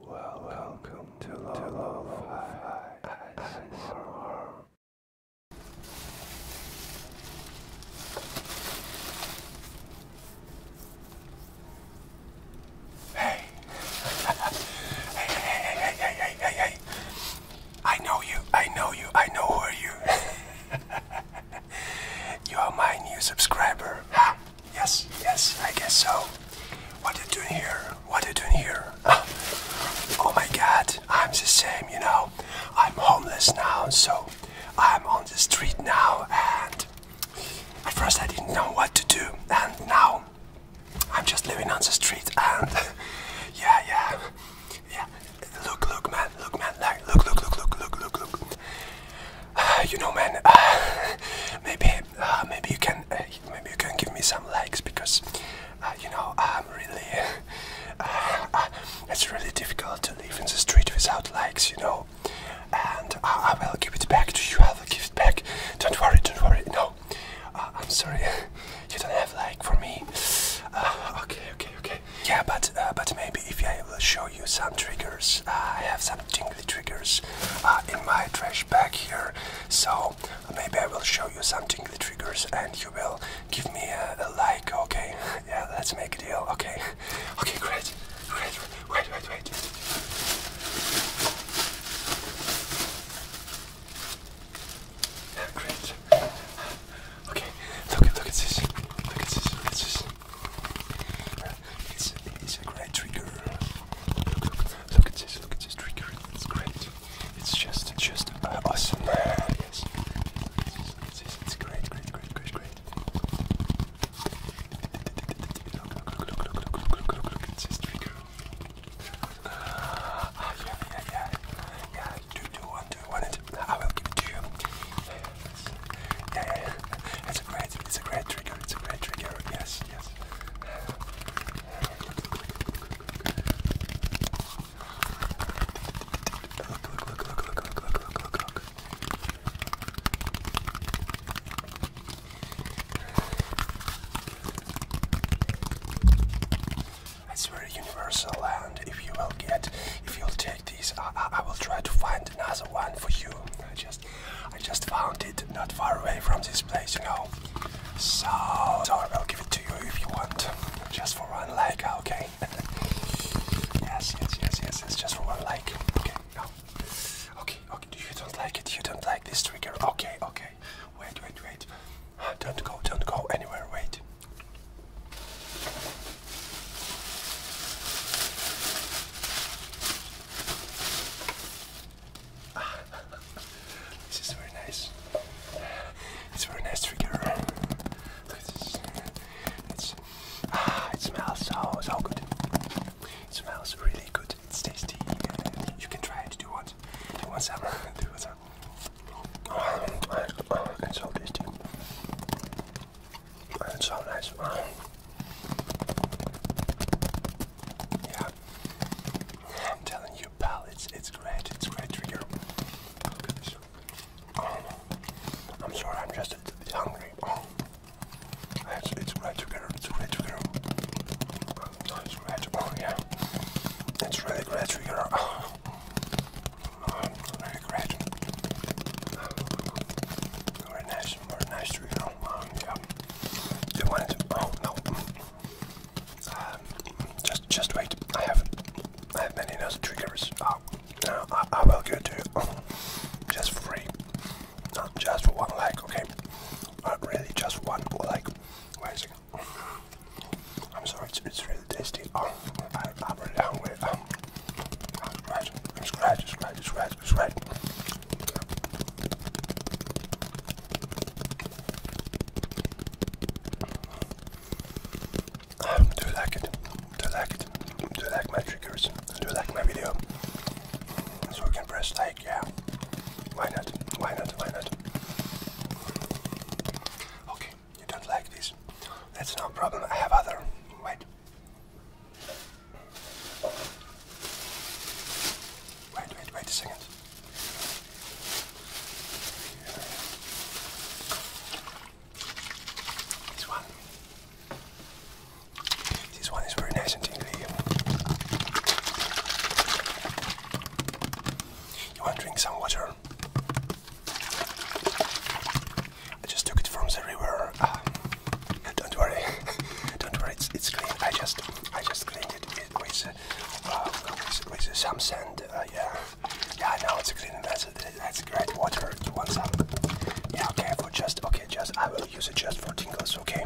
Well, welcome to Lo-Fi ASMR. Hey. hey, hey, hey, hey, hey, hey, hey, I know you. I know you. I know who you. you are my new subscriber. Yes, yes, I guess so. What are you doing here? What are you doing here? oh my god, I'm the same, you know. I'm homeless now, so I'm on the street now, and at first I didn't know what to do, and now I'm just living on the street, and yeah, yeah, yeah. Look, look, man, look, man, like, look, look, look, look, look, look, look. you know, man. maybe, uh, maybe you can, uh, maybe you can give me some likes because, uh, you know, I'm really. it's really difficult to live in the street without likes, you know. And I, will give it back to you. I will give it back. Don't worry. Don't worry. No, I'm sorry. You don't have like for me. okay. Okay. Okay. Yeah, but but maybe if I will show you some triggers, I have something. The triggers uh, in my trash bag here. So maybe I will show you something. The triggers and you will give me a, like, okay? Yeah, let's make a deal, okay? Okay, great. Great. Wait, wait, wait. Great. Okay, look, look at this. Look at this. Look at this it's, it's a great trigger. Look, look, look at this, look at this trigger. It's great. It's just, just awesome. Yes. It's, it's, it's great, great, great, great, great. Look, look, look, look, look, look, look, look, look at this trigger. Ah, yeah, yeah, yeah. Yeah, do, it. I will give it to you. Yes. yeah, yeah. It's a great, it's a great trigger. It's a great trigger. Yes yes. Look, look, look, look, look, look, look, look, look, It's very universal, and if you will get, if you'll take this, I, I, will try to find another one for you. just I just found it not far away from this place, you know. So, sorry, I will give it to you if you want. Just for one leg, ah, okay? yes, yes, yes, yes, it's just for one leg, Okay, no. Okay, okay, you don't like it, you don't like this trigger. Okay, okay. Wait, wait, wait. Don't go, don't go anywhere, wait. this is very nice. It's very nice trigger. Look at this. It's, ah, it smells so so good. It smells really good. It's tasty. You can try it. Do you want? Do you want some? Do you want some? Oh, it's so tasty. That's so nice. Wow. Yeah. I'm telling you, pal, it's it's great. It's great trigger. Oh, I'm sorry, I'm just a bit hungry. Oh. It's, it's great together. It's great together. Oh, it's great. Oh, yeah. It's really great together. Oh. really great. Oh, nice more nice to um, you wanted to. Oh no. Um, just, just wait. I have, I have many other triggers. Oh, uh, no, uh, I, will go to oh, just free, not just for one like. Okay, Not really, just one like. Wait a second. I'm sorry, it's, it's really tasty. Oh, I, am really hungry. Um, scratch, scratch, scratch, scratch do you like it? Do you like it? Do you like my triggers? Do you like my video? So you can press like, yeah. Why not? Why not? Why not? Okay, you don't like this. That's no problem. I have other. Wait. Wait, wait, wait a second. This one. This one is very nice and tingly. You want to drink some water? I just took it from the river. Ah, don't worry, don't worry. It's, it's clean. I just I just cleaned it with with, uh, uh, some sand. Uh, yeah, yeah. Now it's clean. That's that's great. Water to one side. Yeah. Okay. For just okay. Just I will use it just for tingles. Okay.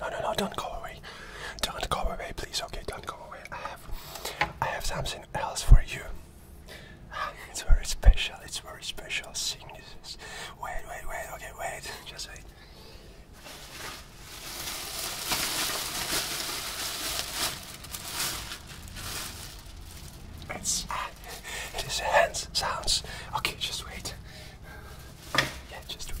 No, no, no, don't go away. Don't go away, please. Okay, don't go away. I have, I have something else for you. It's very special, it's very special seeing this. Wait, wait, wait, okay, wait, just wait. It's, it is hands sounds. Okay, just wait. Yeah, just wait.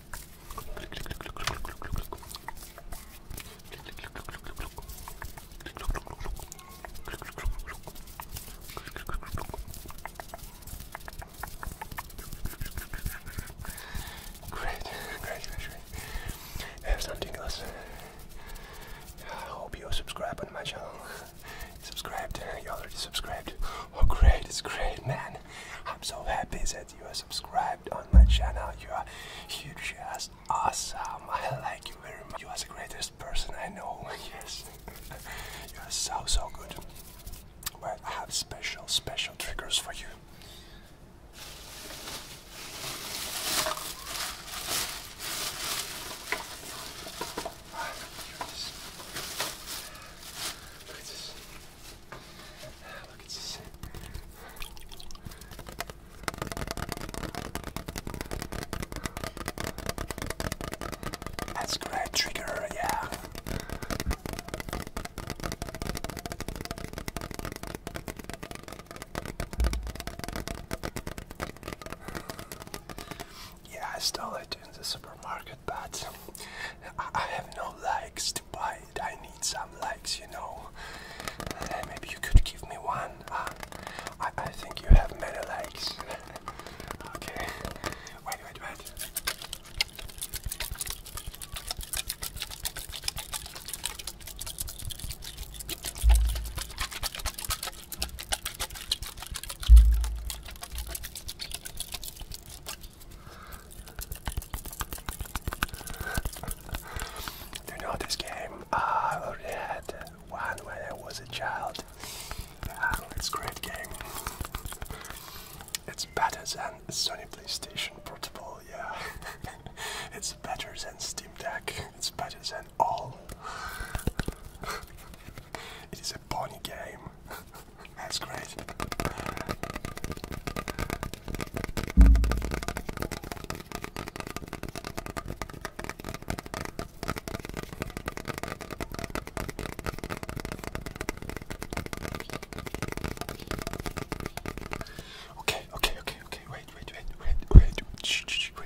Great, great, great, great. If something else, I hope you subscribe on my channel. Subscribed, you already subscribed. Oh, great, it's great, man. I'm so happy that you are subscribed on my channel. You are huge ass awesome. I like you very much. You are the greatest person I know. Yes. you are so so good. Well I have special special triggers for you. Ah, that's great trigger, yeah. Yeah, I stole it in the supermarket, but I have no likes to I need some likes, you know. maybe you could give me one. Ah, I, think you have many likes. okay. Wait, wait, wait you know this game? Uh, I already had one when I was a child. it's great game. It's better than Sony PlayStation Portable, yeah. it's better than Steam Deck. It's better than all. it is a pony game. That's great. Okay, okay, okay, okay. Wait, wait, wait, wait, wait. Shh, shh, shh, wait.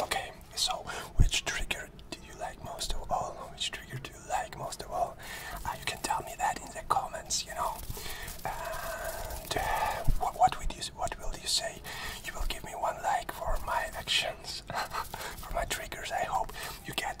Okay, so which trigger do you like most of all? Which trigger do you like most of all? Ah, you can tell me that in the comments, you know. And uh, what, what will you say? You will give me one like for my actions, for my triggers. I hope you get